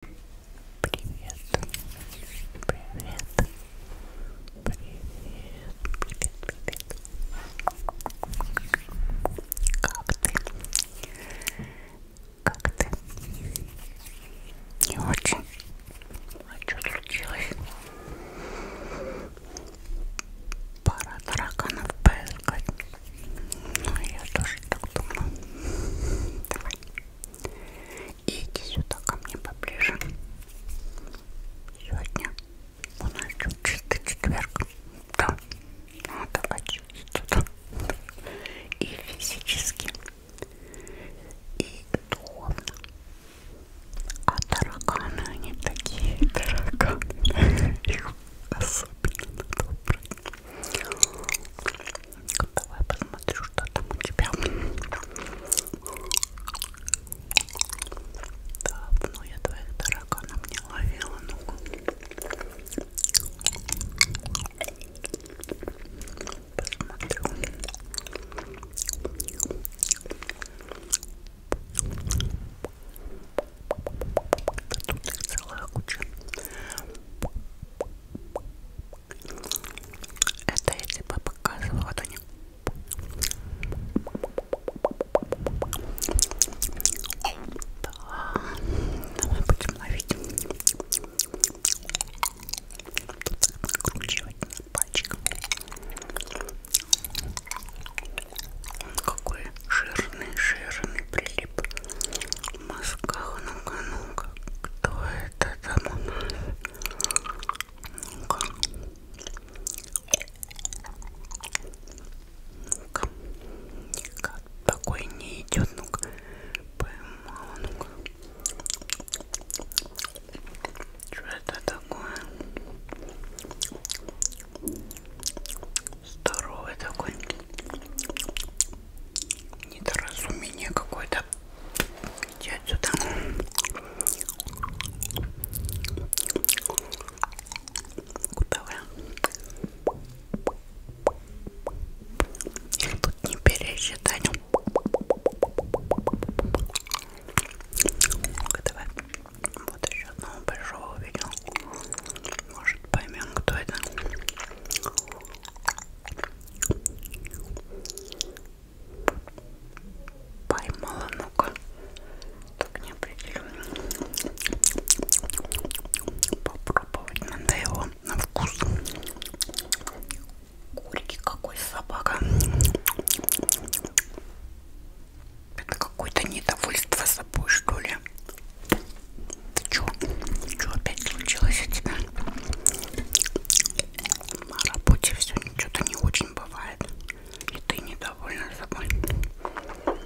Привет. Привет. Привет. Привет, привет. Как ты? Как ты? Не очень. А что случилось? Пара тараканов поискать. Ну, я тоже так думаю. Давай. И иди сюда ко мне поближе. Сегодня у нас чистый четверг. Да, надо ну, очиститься. И физически, и духовно. А тараканы, они такие тараканы. Их особенно надо убрать. Давай посмотрю, что там у тебя. Давно ну, я твоих тараканов не ловила, ну-ка. Посмотрю. Да тут их целая куча. Это я тебе показывала, то не да. Давай будем ловить. Тут накручивать на пальчиком. Он какой жирный, жирный прилип в мозгах, ну-ка, ну-ка, кто это там у нас? Ну-ка. Ну-ка. Никак такой не идет, ну-ка. Поймала, ну-ка. Что это такое? Здоровый такой недоразумение какое-то. Иди отсюда. Куда вы? Их тут не пересчитать. Давай. Вот еще одного большого увидел. Может поймем, кто это. Поймала, ну-ка. Так не определенно. Попробовать надо его на вкус. Горький какой собака. Это какое-то недовольство собой, что ли. Ты чё? Чё опять случилось у тебя? На работе все что-то не очень бывает. И ты недовольна собой. Ну,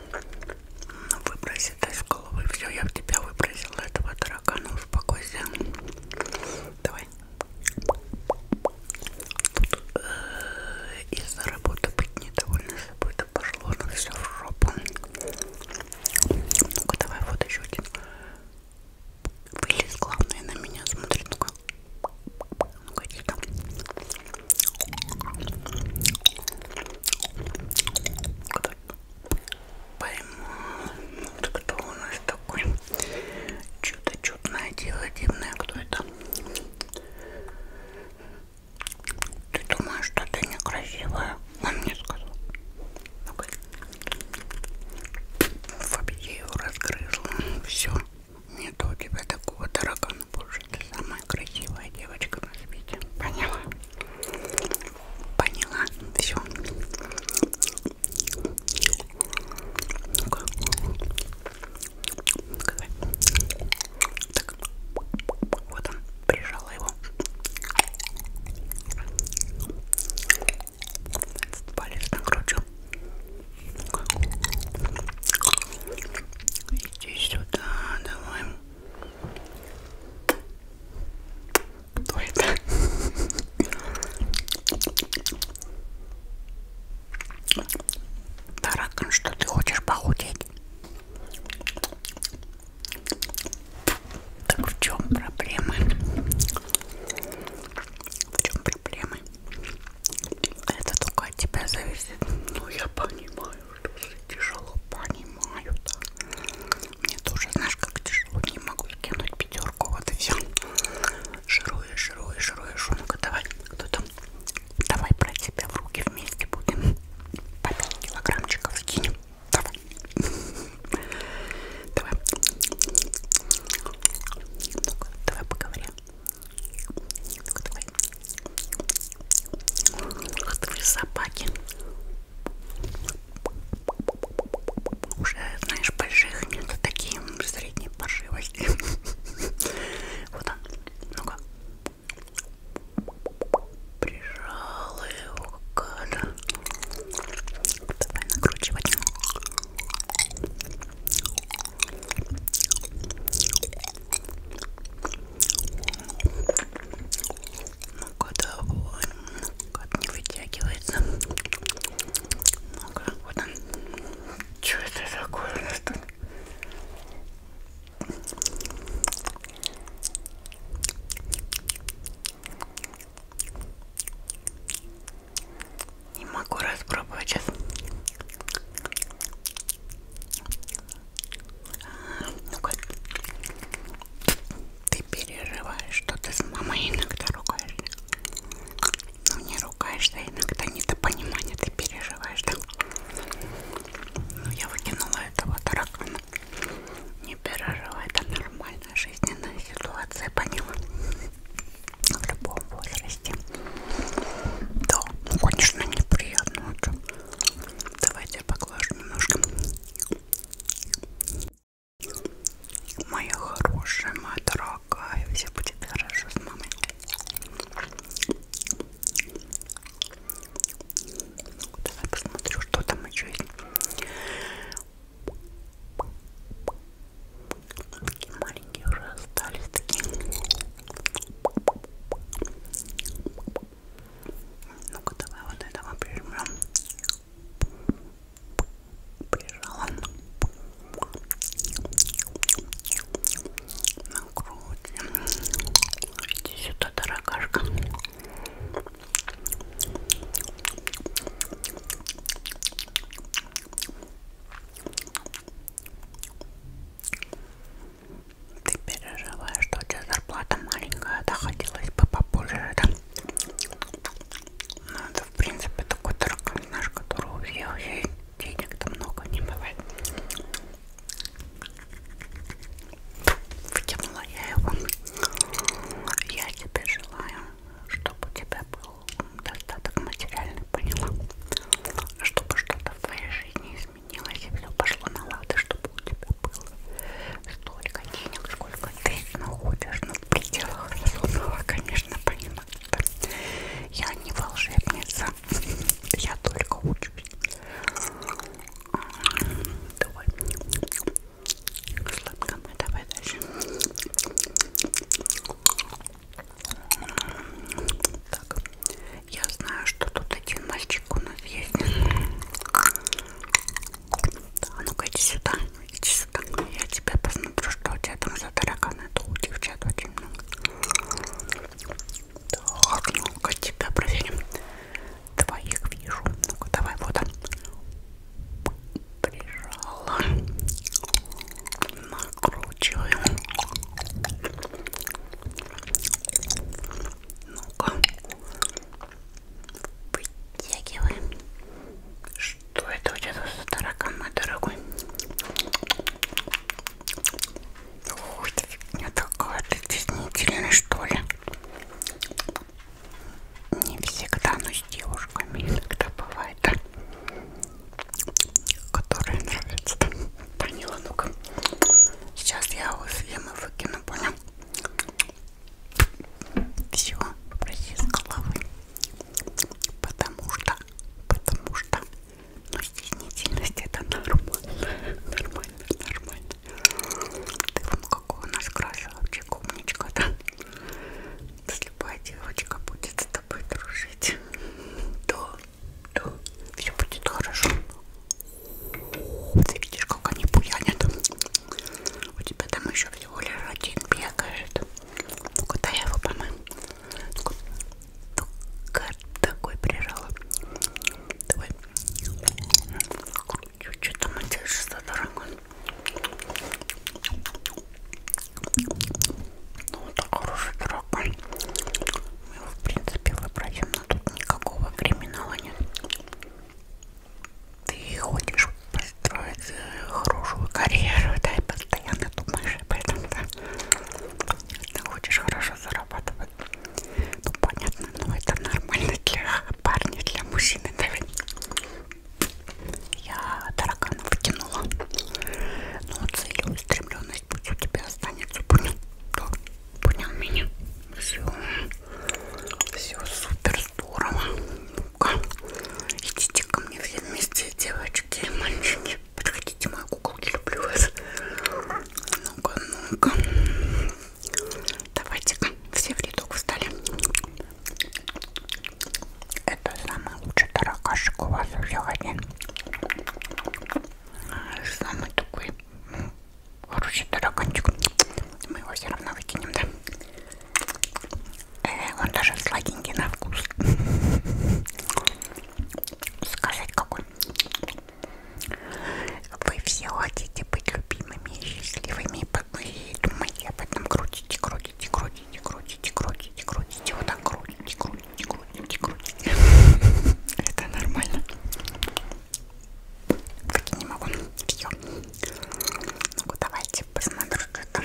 выброси это из головы. Все, я в тебя выбросила этого таракана. Успокойся. Давай. Тут э -э, из-за работы быть недовольна собой. Да пошло на все в жопу. Ну-ка, давай вот еще один. Вылез, главное, на меня смотрит. Ну-ка. Ну-ка, иди там. Поймал. Вот кто у нас такой? Чудо чудное дело дивное. Кто это? Ты думаешь, что ты некрасивая? Он мне сказал. Ну-ка. Я его разгрызла. Все. Нету у тебя типа такого таракана больше. Ты самая красивая девочка на свете. Поняла? Поняла. Все. Ну-ка. Так. Вот он прижала его. Этот палец накручу. Иди сюда, давай. Кто это? Таракан, что ты хочешь похудеть? Так в чем проблема? В чем проблема? Это только от тебя зависит. Ну я понимаю, что тяжело, понимаю, да. Мне тоже, знаешь, как тяжело, не могу скинуть пятерку, вот и все. Жируешь, жируешь, жируешь. Ну-ка, давай, кто там? Давай брать себя в руки вместе будем. По 5 килограммчиков скинем. Давай. Давай. Ну-ка, давай поговорим. Ну-ка, давай. Ах ты собаки. Уже, знаешь, больших нет, а такие средние паршивости. Вот он. Ну-ка прижала его, гада. Давай накручивать. Ну-ка, давай. Как не вытягивается. Ну-ка, вот он. Что это такое у нас тут? Не могу распробовать сейчас. Ну-ка. Ты перерываешь, что ты с мамой иногда ругаешься. Ну не ругаешься, иногда недопонимание ты переживаешь, да? Ну я выкинула этого таракана. Не перерыва, это нормальная жизненная ситуация, поняла? В любом возрасте. Да, ну конечно неприятно. Давайте я поглажу немножко. Моя хорошая, моя дорогая, все будет хорошо с мамой. Давай посмотрю, что там еще есть. Такие маленькие уже остались такие. Ну-ка, давай вот этого прижмем. Прижала. Накрутим. Иди сюда, дорогашка. Ты переживаешь, что у тебя зарплата маленькая, да хотелось бы попозже, да? Ну это в принципе такой таракан наш, который у всех есть, денег-то много не бывает. Втянула я его. Я тебе желаю, чтобы у тебя был достаток материальный, поняла? Чтобы что-то в твоей жизни изменилось и все пошло на лады, чтобы у тебя было столько денег, сколько ты находишь, ну, в пределах разумного, конечно, понимаешь. Я не волшебница, я только учусь. Давай. Сладко мы, давай дальше. Так, я знаю, что тут один мальчик у нас есть. А ну-ка иди сюда, иди сюда. Я тебя посмотрю, что у тебя там за тараканы. Это у девчат очень много. Так, ну-ка тебя проверим. Твоих вижу. Ну-ка, давай, вот он. Прижала. Накручиваю. Ну-ка. Вытягиваем. Что это у тебя за таракан, мой дорогой? Ой, фигня такая, ты здесь не что ли? Не всегда, но с девушками иногда бывает, да? которые нравятся. Поняла, ну-ка. Сейчас я его съем и выкину, понял? Все, проси с головы. Потому что, потому что, ну, стеснительность это нормально. Нормально, нормально. Ты вон какой у нас красавчик, умничка, да? Слепая девочка будет с тобой дружить. Да, да, все будет хорошо. Ты видишь, как они буянят. У тебя там еще всего лишь один бегает. Ну-ка, дай его помою. Только такой прижала. Давай. Что там у тебя что, дорогой? Ну, вот так хороший дорогой. Мы его, в принципе, выбросим, но тут никакого криминала нет. Ты хочешь построить э, хорошую карьеру, да, и постоянно думаешь об этом, да? Ты хочешь хорошо заработать зарабатывают. Ну понятно, но это нормально для парня, для мужчины, наверное. Я тараканов выкинула. Но ну, целеустремленность пусть у тебя останется. Понял? Да. Понял меня? Все. Все супер здорово. Ну-ка. Идите ко мне все вместе, девочки и мальчики. Подходите, мои куколки, люблю вас. Ну-ка, ну-ка. Давайте все в рядок встали. Это самый лучший таракашек у вас сегодня. Самый такой хороший тараканчик. Мы его все равно выкинем, да? Э, он даже сладенький на вкус. Сказать какой. Вы все хотите быть любимыми и счастливыми, и думаете об этом, крутите, крутите, крутите, крутите, крутите, крутите, вот так крутите, крутите, крутите, крутите. Это нормально. Так я не могу. Все. Ну-ка, давайте посмотрим, что там.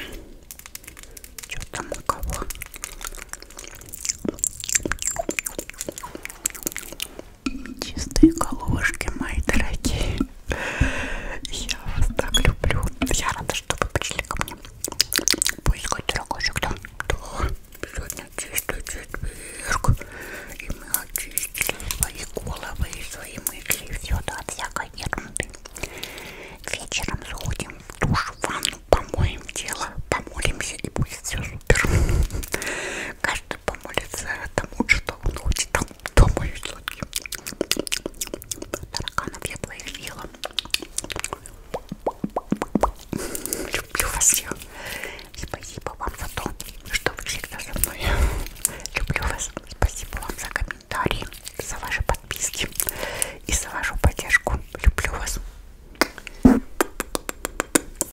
Что там у кого? Чистые головушки, мои дорогие. Я вас так люблю. Я рада, что вы пришли ко мне. Поискать дорогожек, да? Да. Сегодня чистый четверг. И мы очистили свои головы и свои мысли. Все, да, от всякой ерунды. Вечером сходим в душ, в ванну, помоем тело, помолимся и будет все супер. Каждый помолится тому, что он хочет. Там, дома и сладкий. Тараканов я твоих ела. Люблю вас всех. Спасибо вам за то, что вы всегда со мной. Люблю вас. Спасибо вам за комментарии, за ваши подписки и за вашу поддержку. Люблю вас.